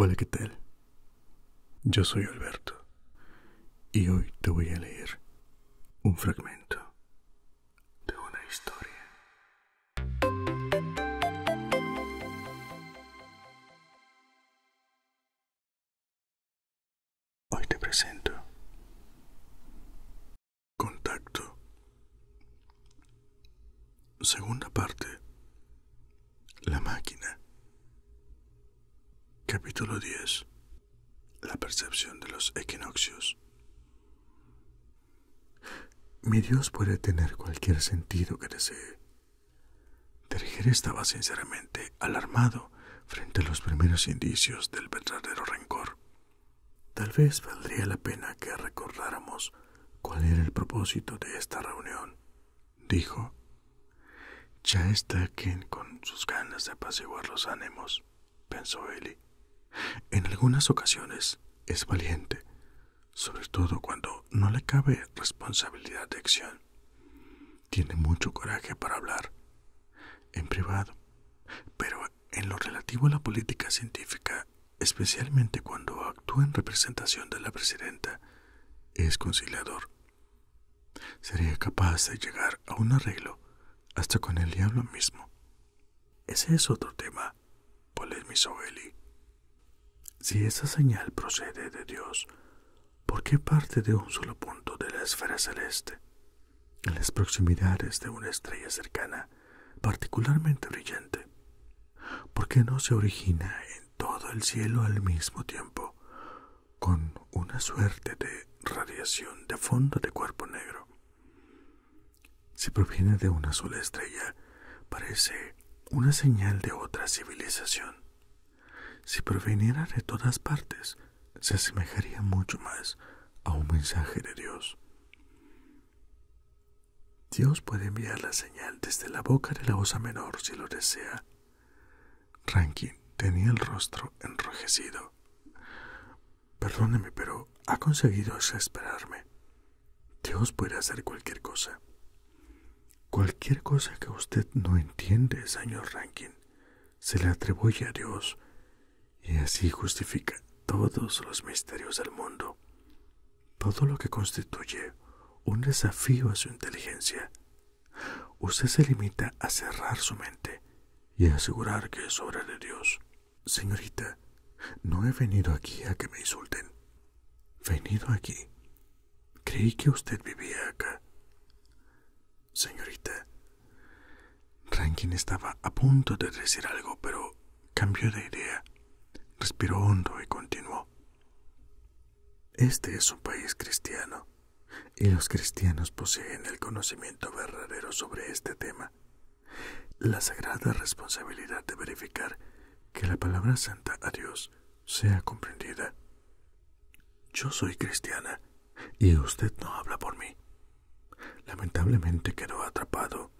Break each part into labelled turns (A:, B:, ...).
A: Hola, ¿qué tal? Yo soy Alberto y hoy te voy a leer un fragmento de una historia Hoy te presento Contacto. Segunda parte. La máquina. Capítulo 10. La percepción de los equinoccios. Mi Dios puede tener cualquier sentido que desee. Terger estaba sinceramente alarmado frente a los primeros indicios del verdadero rencor. Tal vez valdría la pena que recordáramos cuál era el propósito de esta reunión, dijo. Ya está quien con sus ganas de apaciguar los ánimos, pensó Eli. En algunas ocasiones es valiente, sobre todo cuando no le cabe responsabilidad de acción. Tiene mucho coraje para hablar, en privado, pero en lo relativo a la política científica, especialmente cuando actúa en representación de la presidenta, es conciliador. Sería capaz de llegar a un arreglo hasta con el diablo mismo. Ese es otro tema, polemizó Eli. Si esa señal procede de Dios, ¿por qué parte de un solo punto de la esfera celeste? En las proximidades de una estrella cercana, particularmente brillante. ¿Por qué no se origina en todo el cielo al mismo tiempo, con una suerte de radiación de fondo de cuerpo negro? Si proviene de una sola estrella, parece una señal de otra civilización. Si proviniera de todas partes, se asemejaría mucho más a un mensaje de Dios. Dios puede enviar la señal desde la boca de la osa menor si lo desea. Rankin tenía el rostro enrojecido. Perdóneme, pero ha conseguido exasperarme. Dios puede hacer cualquier cosa. Cualquier cosa que usted no entiende, señor Rankin, se le atribuye a Dios y así justifica todos los misterios del mundo. Todo lo que constituye un desafío a su inteligencia. Usted se limita a cerrar su mente y a asegurar que es obra de Dios. Señorita, no he venido aquí a que me insulten. Venido aquí. Creí que usted vivía acá. Señorita, Rankin estaba a punto de decir algo, pero cambió de idea. Respiró hondo y continuó. Este es un país cristiano, y los cristianos poseen el conocimiento verdadero sobre este tema la sagrada responsabilidad de verificar que la palabra santa a Dios sea comprendida. Yo soy cristiana y usted no habla por mí. Lamentablemente quedó atrapado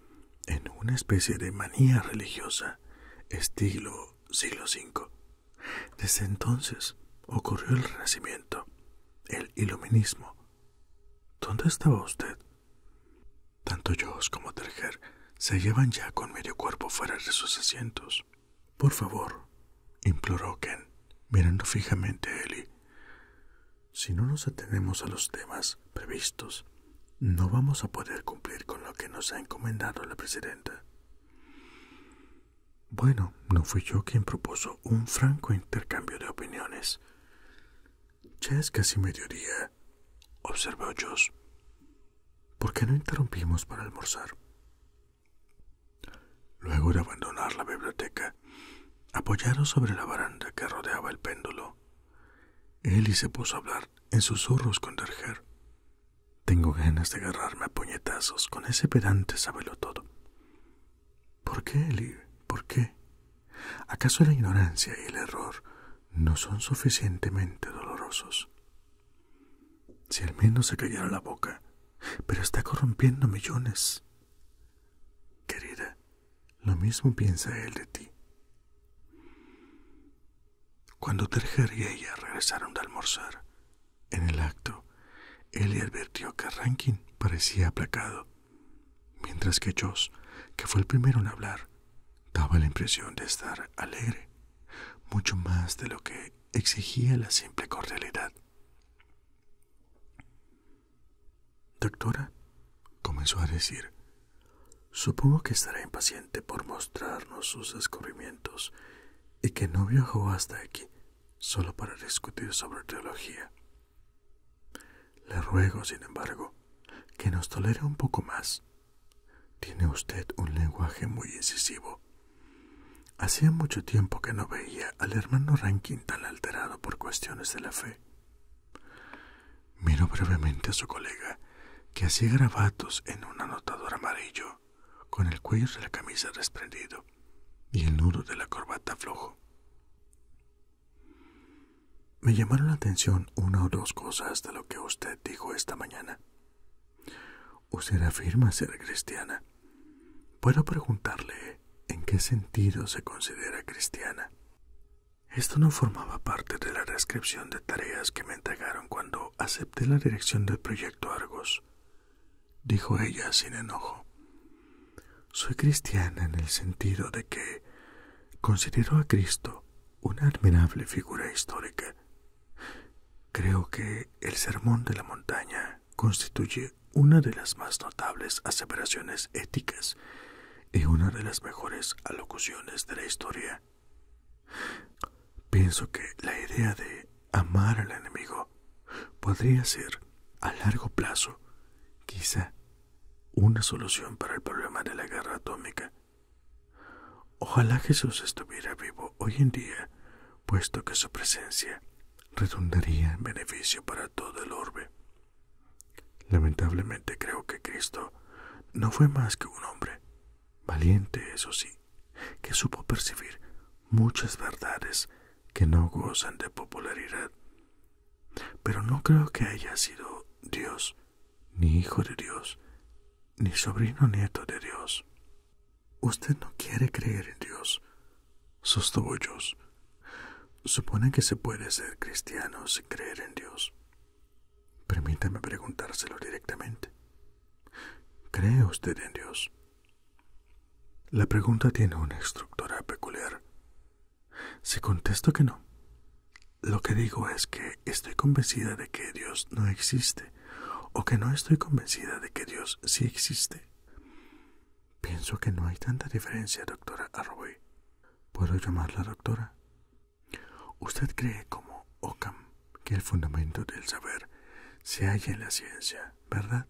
A: en una especie de manía religiosa, estilo siglo V. Desde entonces ocurrió el Renacimiento, el Iluminismo. ¿Dónde estaba usted? Tanto yo como Terger se llevan ya con medio cuerpo fuera de sus asientos. Por favor, imploró Ken, mirando fijamente a Ellie. Si no nos atenemos a los temas previstos, no vamos a poder cumplir con lo que nos ha encomendado la presidenta. Bueno, no fui yo quien propuso un franco intercambio de opiniones. Ya es casi mediodía, —observó Jos. ¿Por qué no interrumpimos para almorzar? Luego de abandonar la biblioteca, apoyado sobre la baranda que rodeaba el péndulo, Eli se puso a hablar en susurros con Derger. Tengo ganas de agarrarme a puñetazos con ese pedante sábelo todo. ¿Por qué, Eli? ¿Por qué? ¿Acaso la ignorancia y el error no son suficientemente dolorosos? Si al menos se callara la boca, pero está corrompiendo millones. Querida, lo mismo piensa él de ti. Cuando Terger y ella regresaron de almorzar, en el acto, él le advirtió que Rankin parecía aplacado Mientras que Joss, que fue el primero en hablar, daba la impresión de estar alegre, mucho más de lo que exigía la simple cordialidad. Doctora, comenzó a decir, supongo que estará impaciente por mostrarnos sus descubrimientos y que no viajó hasta aquí solo para discutir sobre teología. Le ruego, sin embargo, que nos tolere un poco más. Tiene usted un lenguaje muy incisivo. Hacía mucho tiempo que no veía al hermano Rankin tan alterado por cuestiones de la fe. Miró brevemente a su colega, que hacía grabatos en un anotador amarillo, con el cuello de la camisa desprendido y el nudo de la corbata flojo. Me llamaron la atención una o dos cosas de lo que usted dijo esta mañana. Usted afirma ser cristiana. ¿Puedo preguntarle en qué sentido se considera cristiana? Esto no formaba parte de la descripción de tareas que me entregaron cuando acepté la dirección del proyecto Argos, dijo ella sin enojo. Soy cristiana en el sentido de que considero a Cristo una admirable figura histórica. Creo que el Sermón de la Montaña constituye una de las más notables aseveraciones éticas y una de las mejores alocuciones de la historia. Pienso que la idea de amar al enemigo podría ser, a largo plazo, quizá una solución para el problema de la guerra atómica. Ojalá Jesús estuviera vivo hoy en día, puesto que su presencia redundaría en beneficio para todo el orbe. Lamentablemente creo que Cristo no fue más que un hombre, valiente, eso sí, que supo percibir muchas verdades que no gozan de popularidad pero no creo que haya sido Dios, ni hijo de Dios, ni sobrino nieto de Dios. Usted no quiere creer en Dios, sostuvo yo. Supone que se puede ser cristiano sin creer en Dios. Permítame preguntárselo directamente. ¿Cree usted en Dios? La pregunta tiene una estructura peculiar. Se contesto que no, lo que digo es que estoy convencida de que Dios no existe o que no estoy convencida de que Dios sí existe. Pienso que no hay tanta diferencia, doctora arroyo ¿Puedo llamarla doctora? Usted cree, como Ockham, que el fundamento del saber se halla en la ciencia, ¿verdad?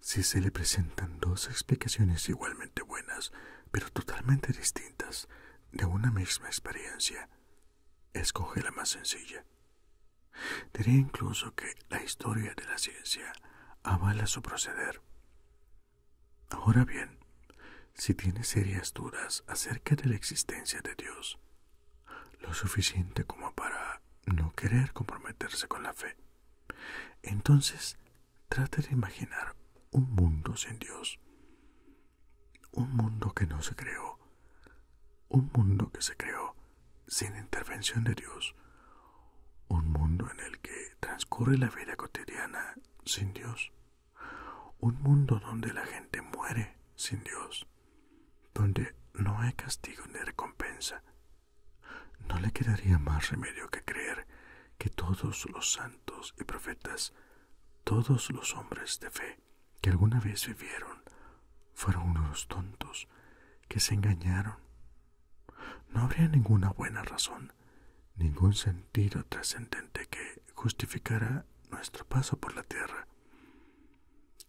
A: Si se le presentan dos explicaciones igualmente buenas, pero totalmente distintas, de una misma experiencia, escoge la más sencilla. Diría incluso que la historia de la ciencia avala su proceder. Ahora bien, si tiene serias dudas acerca de la existencia de Dios, lo suficiente como para no querer comprometerse con la fe, entonces Trate de imaginar un mundo sin Dios, un mundo que no se creó, un mundo que se creó sin intervención de Dios, un mundo en el que transcurre la vida cotidiana sin Dios, un mundo donde la gente muere sin Dios, donde no hay castigo ni recompensa, no le quedaría más remedio que creer que todos los santos y profetas, todos los hombres de fe que alguna vez vivieron, fueron unos tontos que se engañaron. No habría ninguna buena razón, ningún sentido trascendente que justificara nuestro paso por la tierra.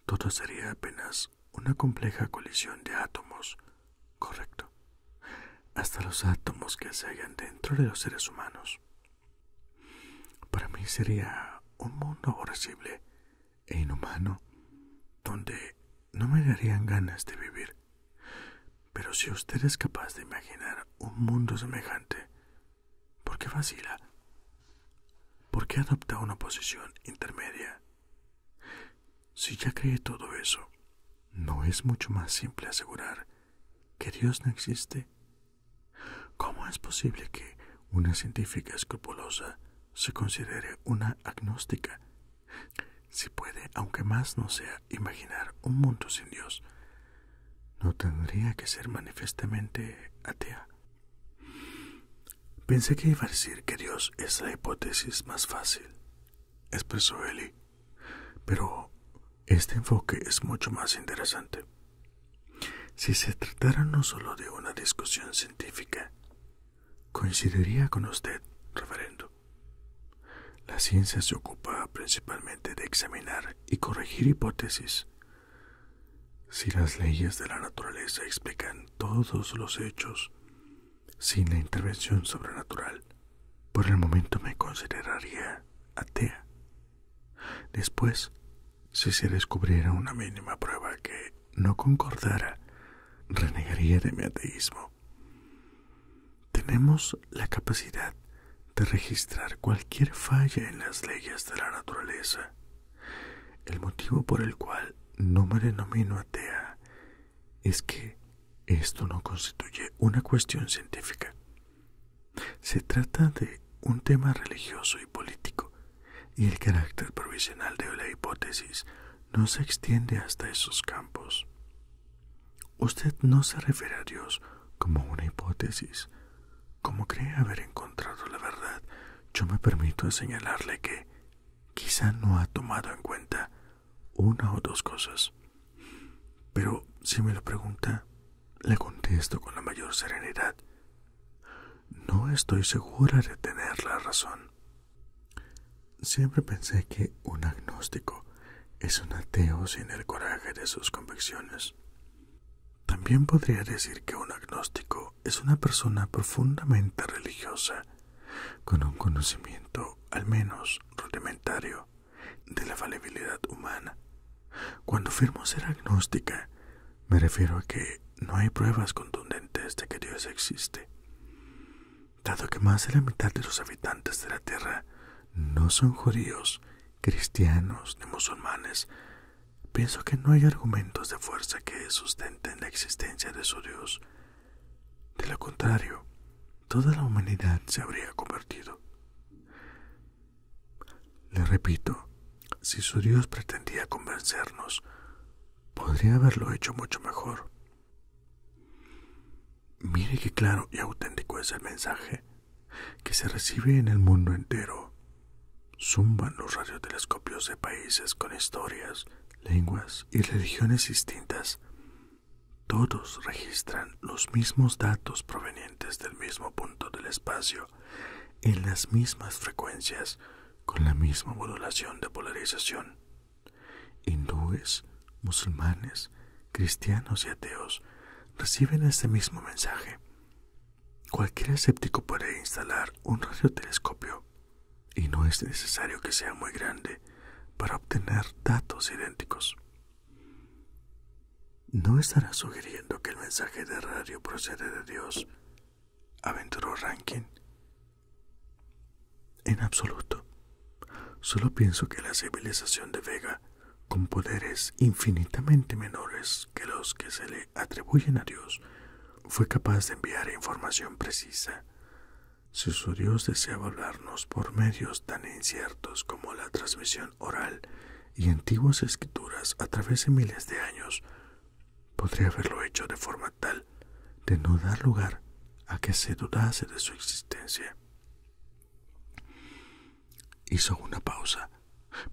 A: Todo sería apenas una compleja colisión de átomos Correcto. Hasta los átomos que se hallan dentro de los seres humanos. Para mí sería un mundo aborrecible e inhumano donde no me darían ganas de vivir. Pero si usted es capaz de imaginar un mundo semejante, ¿por qué vacila? ¿Por qué adopta una posición intermedia? Si ya cree todo eso, ¿no es mucho más simple asegurar que Dios no existe? ¿Cómo es posible que una científica escrupulosa se considere una agnóstica si puede, aunque más no sea, imaginar un mundo sin Dios? ¿No tendría que ser manifestamente atea? Pensé que iba a decir que Dios es la hipótesis más fácil, expresó Eli. Pero este enfoque es mucho más interesante. Si se tratara no solo de una discusión científica, coincidiría con usted, referendo La ciencia se ocupa principalmente de examinar y corregir hipótesis. Si las leyes de la naturaleza explican todos los hechos, sin la intervención sobrenatural, por el momento me consideraría atea. Después, si se descubriera una mínima prueba que no concordara, renegaría de mi ateísmo. Tenemos la capacidad de registrar cualquier falla en las leyes de la naturaleza. El motivo por el cual no me denomino atea es que esto no constituye una cuestión científica. Se trata de un tema religioso y político, y el carácter provisional de la hipótesis no se extiende hasta esos campos. Usted no se refiere a Dios como una hipótesis. Como cree haber encontrado la verdad, yo me permito señalarle que quizá no ha tomado en cuenta una o dos cosas. Pero si me lo pregunta, le contesto con la mayor serenidad. No estoy segura de tener la razón. Siempre pensé que un agnóstico es un ateo sin el coraje de sus convicciones. También podría decir que un agnóstico es una persona profundamente religiosa con un conocimiento al menos rudimentario de la falibilidad humana. Cuando afirmo ser agnóstica, me refiero a que no hay pruebas contundentes de que Dios existe, dado que más de la mitad de los habitantes de la Tierra no son judíos, cristianos ni musulmanes, pienso que no hay argumentos de fuerza que sustenten la existencia de su Dios de lo contrario, toda la humanidad se habría convertido. Le repito, si su Dios pretendía convencernos, podría haberlo hecho mucho mejor. Mire qué claro y auténtico es el mensaje que se recibe en el mundo entero. Zumban los radiotelescopios de países con historias lenguas y religiones distintas, todos registran los mismos datos provenientes del mismo punto del espacio, en las mismas frecuencias, con la misma modulación de polarización. Hindúes, musulmanes, cristianos y ateos reciben este mismo mensaje. Cualquier escéptico puede instalar un radiotelescopio y no es necesario que sea muy grande para obtener datos idénticos. No estará sugiriendo que el mensaje de radio procede de Dios, aventuró Rankin. En absoluto. Solo pienso que la civilización de Vega, con poderes infinitamente menores que los que se le atribuyen a Dios, fue capaz de enviar información precisa si su Dios deseaba hablarnos por medios tan inciertos como la transmisión oral y antiguas escrituras a través de miles de años, podría haberlo hecho de forma tal de no dar lugar a que se dudase de su existencia. Hizo una pausa,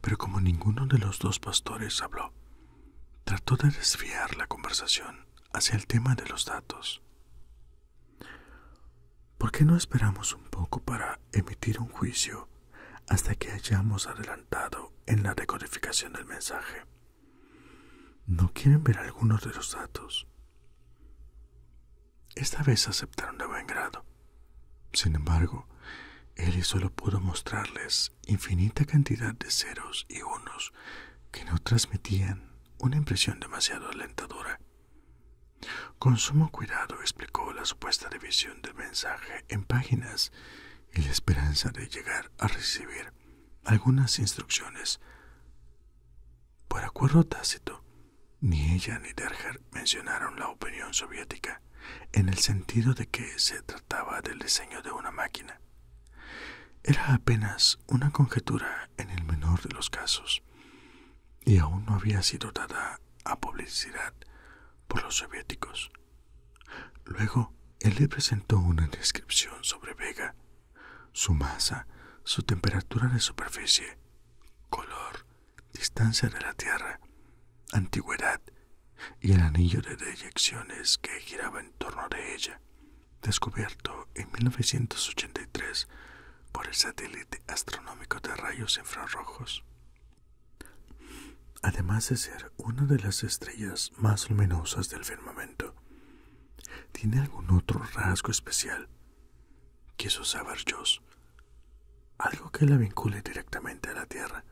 A: pero como ninguno de los dos pastores habló, trató de desviar la conversación hacia el tema de los datos. ¿Por qué no esperamos un poco para emitir un juicio hasta que hayamos adelantado en la decodificación del mensaje? ¿No quieren ver algunos de los datos? Esta vez aceptaron de buen grado. Sin embargo, Eli solo pudo mostrarles infinita cantidad de ceros y unos que no transmitían una impresión demasiado alentadora. Con sumo cuidado explicó la supuesta división del mensaje en páginas y la esperanza de llegar a recibir algunas instrucciones. Por acuerdo tácito, ni ella ni Derger mencionaron la opinión soviética, en el sentido de que se del diseño de una máquina. Era apenas una conjetura en el menor de los casos, y aún no había sido dada a publicidad por los soviéticos. Luego, él le presentó una descripción sobre Vega, su masa, su temperatura de superficie, color, distancia de la Tierra, antigüedad y el anillo de deyecciones que giraba en torno de ella descubierto en 1983 por el satélite astronómico de rayos infrarrojos. Además de ser una de las estrellas más luminosas del firmamento, ¿tiene algún otro rasgo especial? Quiso saber Joss. Algo que la vincule directamente a la Tierra.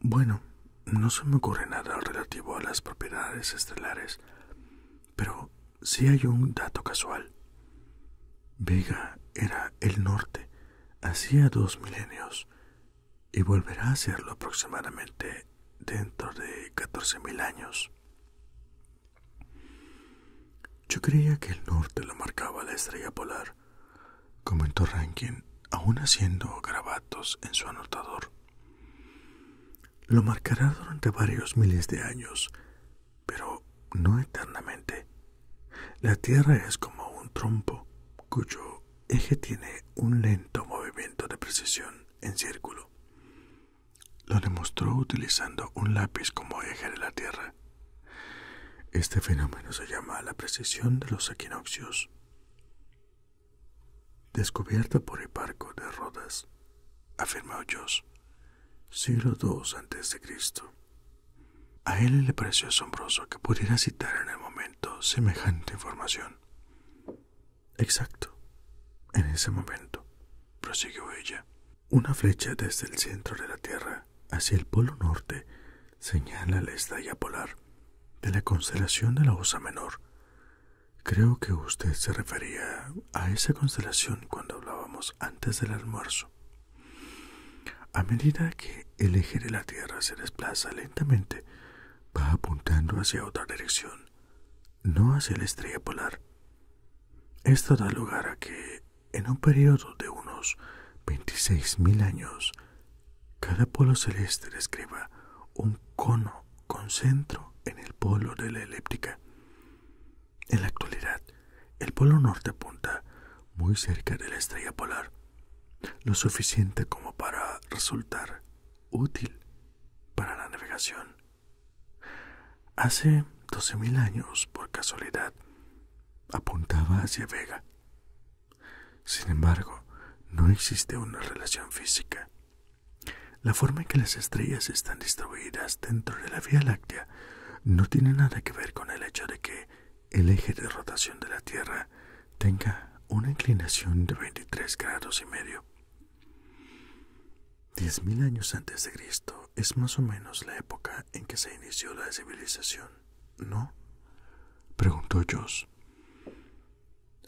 A: Bueno, no se me ocurre nada relativo a las propiedades estelares, pero sí hay un dato casual. Vega era el norte hacía dos milenios y volverá a serlo aproximadamente dentro de catorce mil años. Yo creía que el norte lo marcaba la estrella polar, comentó Rankin aún haciendo grabatos en su anotador. Lo marcará durante varios miles de años, pero no eternamente. La Tierra es como un trompo cuyo eje tiene un lento movimiento de precisión en círculo. Lo demostró utilizando un lápiz como eje de la Tierra. Este fenómeno se llama la precisión de los equinoccios descubierta por el barco de Rodas, afirmó Hoyos, siglo II Cristo. A él le pareció asombroso que pudiera citar en el momento semejante información. Exacto, en ese momento, prosiguió ella, una flecha desde el centro de la Tierra hacia el polo norte señala la estrella polar de la constelación de la Osa Menor. Creo que usted se refería a esa constelación cuando hablábamos antes del almuerzo. A medida que el eje de la Tierra se desplaza lentamente, va apuntando hacia otra dirección, no hacia la estrella polar. Esto da lugar a que, en un período de unos 26.000 años, cada polo celeste describa un cono con centro en el polo de la elíptica. En la actualidad, el polo norte apunta muy cerca de la estrella polar, lo suficiente como para resultar útil para la navegación. Hace 12.000 años, por casualidad, apuntaba hacia Vega, sin embargo, no existe una relación física. La forma en que las estrellas están distribuidas dentro de la Vía Láctea no tiene nada que ver con el hecho de que el eje de rotación de la Tierra tenga una inclinación de veintitrés grados y medio. diez mil años antes de Cristo es más o menos la época en que se inició la civilización, ¿no? Preguntó Joss.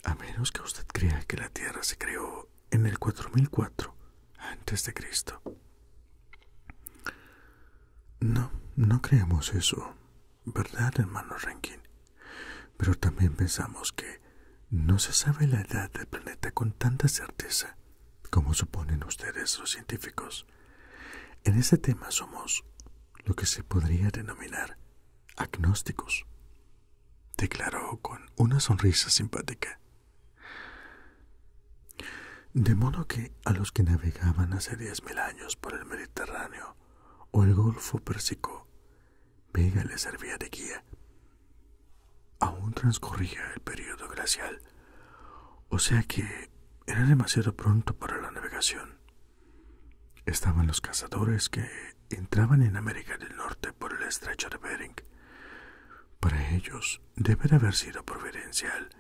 A: A menos que usted crea que la Tierra se creó en el 4004 antes de Cristo. No, no creemos eso, ¿verdad, hermano Rankin? Pero también pensamos que no se sabe la edad del planeta con tanta certeza como suponen ustedes los científicos. En ese tema somos lo que se podría denominar agnósticos, declaró con una sonrisa simpática. De modo que a los que navegaban hace diez mil años por el Mediterráneo o el Golfo persico Vega les servía de guía. Aún transcurría el período glacial, o sea que era demasiado pronto para la navegación. Estaban los cazadores que entraban en América del Norte por el estrecho de Bering. Para ellos debe haber sido providencial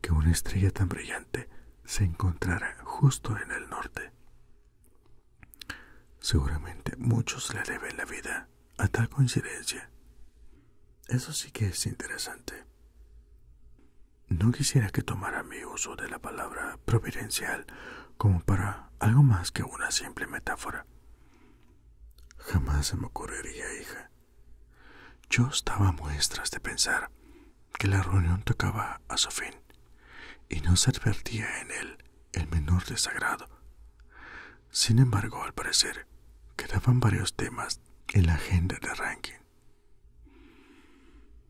A: que una estrella tan brillante se encontrara justo en el norte. Seguramente muchos le deben la vida a tal coincidencia. Eso sí que es interesante. No quisiera que tomara mi uso de la palabra providencial como para algo más que una simple metáfora. Jamás se me ocurriría, hija. Yo estaba a muestras de pensar que la reunión tocaba a su fin y no se advertía en él el menor desagrado. Sin embargo, al parecer, quedaban varios temas en la agenda de Rankin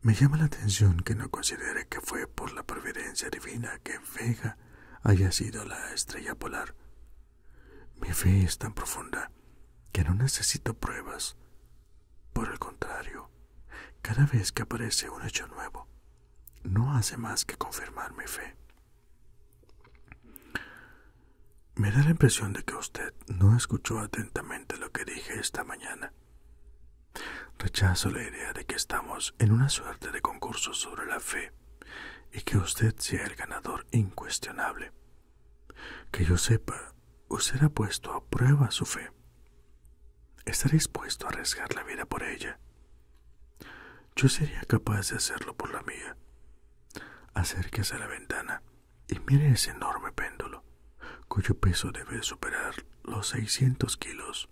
A: me llama la atención que no considere que fue por la providencia divina que Vega haya sido la estrella polar. Mi fe es tan profunda que no necesito pruebas. Por el contrario, cada vez que aparece un hecho nuevo, no hace más que confirmar mi fe. Me da la impresión de que usted no escuchó atentamente lo que dije esta mañana. Rechazo la idea de que estamos en una suerte de concurso sobre la fe y que usted sea el ganador incuestionable. Que yo sepa, usted ha puesto a prueba su fe. Está dispuesto a arriesgar la vida por ella. Yo sería capaz de hacerlo por la mía. Acérquese a la ventana y mire ese enorme péndulo, cuyo peso debe superar los 600 kilos.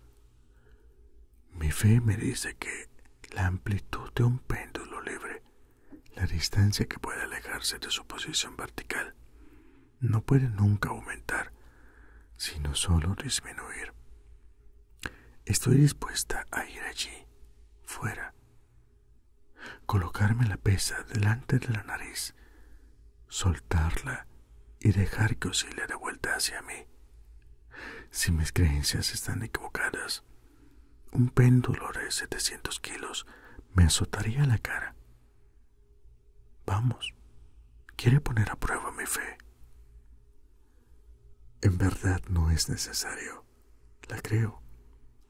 A: Mi fe me dice que la amplitud de un péndulo libre, la distancia que puede alejarse de su posición vertical, no puede nunca aumentar, sino solo disminuir. Estoy dispuesta a ir allí, fuera, colocarme la pesa delante de la nariz soltarla y dejar que oscile de vuelta hacia mí. Si mis creencias están equivocadas, un péndulo de 700 kilos me azotaría la cara. Vamos, quiere poner a prueba mi fe. En verdad no es necesario. La creo,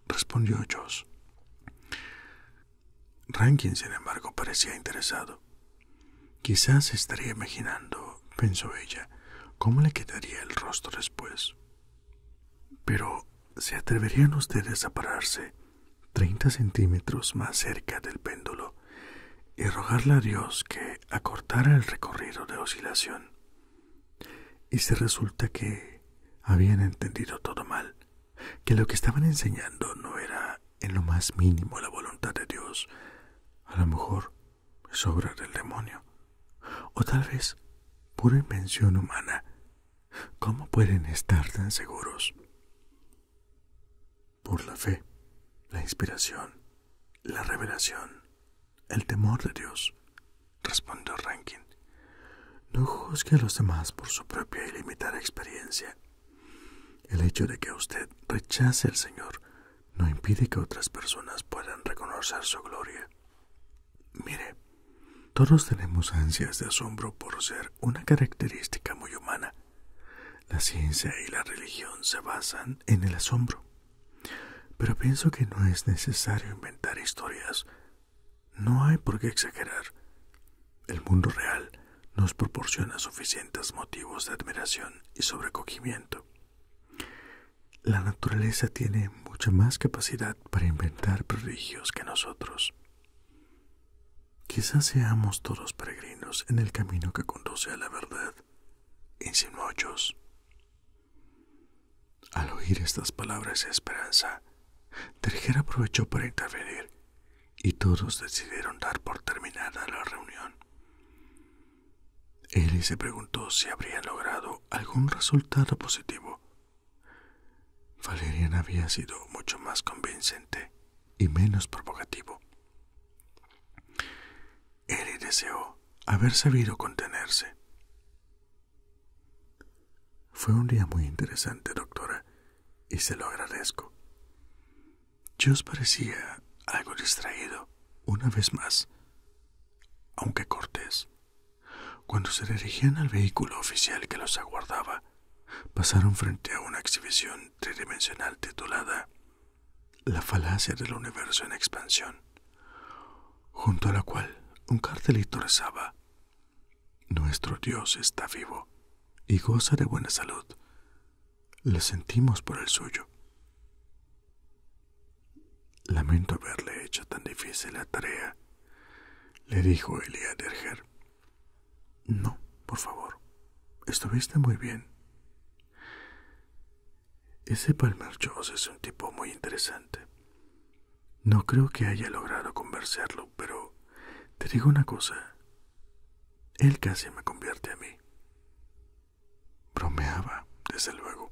A: respondió Jos. Rankin, sin embargo, parecía interesado. Quizás estaría imaginando, pensó ella, cómo le quedaría el rostro después. Pero, ¿se atreverían ustedes a pararse treinta centímetros más cerca del péndulo y rogarle a Dios que acortara el recorrido de oscilación? Y se resulta que habían entendido todo mal, que lo que estaban enseñando no era en lo más mínimo la voluntad de Dios. A lo mejor es obra del demonio, o tal vez pura invención humana. ¿Cómo pueden estar tan seguros? Por la fe, la inspiración, la revelación, el temor de Dios, respondió Rankin. No juzgue a los demás por su propia y limitada experiencia. El hecho de que usted rechace al Señor no impide que otras personas puedan reconocer su gloria. Mire, todos tenemos ansias de asombro por ser una característica muy humana. La ciencia y la religión se basan en el asombro. Pero pienso que no es necesario inventar historias no hay por qué exagerar. El mundo real nos proporciona suficientes motivos de admiración y sobrecogimiento. La naturaleza tiene mucha más capacidad para inventar prodigios que nosotros. Quizás seamos todos peregrinos en el camino que conduce a la verdad, insinuó Al oír estas palabras de esperanza, Terger aprovechó para intervenir y todos decidieron dar por terminada la reunión. Eli se preguntó si habría logrado algún resultado positivo. Valerian había sido mucho más convincente y menos provocativo. Eli deseó haber sabido contenerse. Fue un día muy interesante, doctora, y se lo agradezco. Yo os parecía algo distraído, una vez más, aunque cortés. Cuando se dirigían al vehículo oficial que los aguardaba, pasaron frente a una exhibición tridimensional titulada La falacia del universo en expansión, junto a la cual un cartelito rezaba nuestro Dios está vivo y goza de buena salud. Le sentimos por el suyo. Lamento haberle hecho tan difícil la tarea, le dijo Elia Derger. No, por favor. Estuviste muy bien. Ese Palmer es un tipo muy interesante. No creo que haya logrado conversarlo, pero te digo una cosa. Él casi me convierte a mí. Bromeaba, desde luego.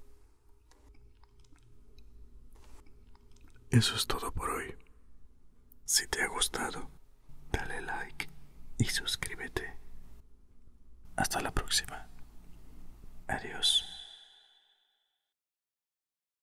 A: Eso es todo por hoy. Si te ha gustado, dale like y suscríbete. Hasta la próxima. Adiós.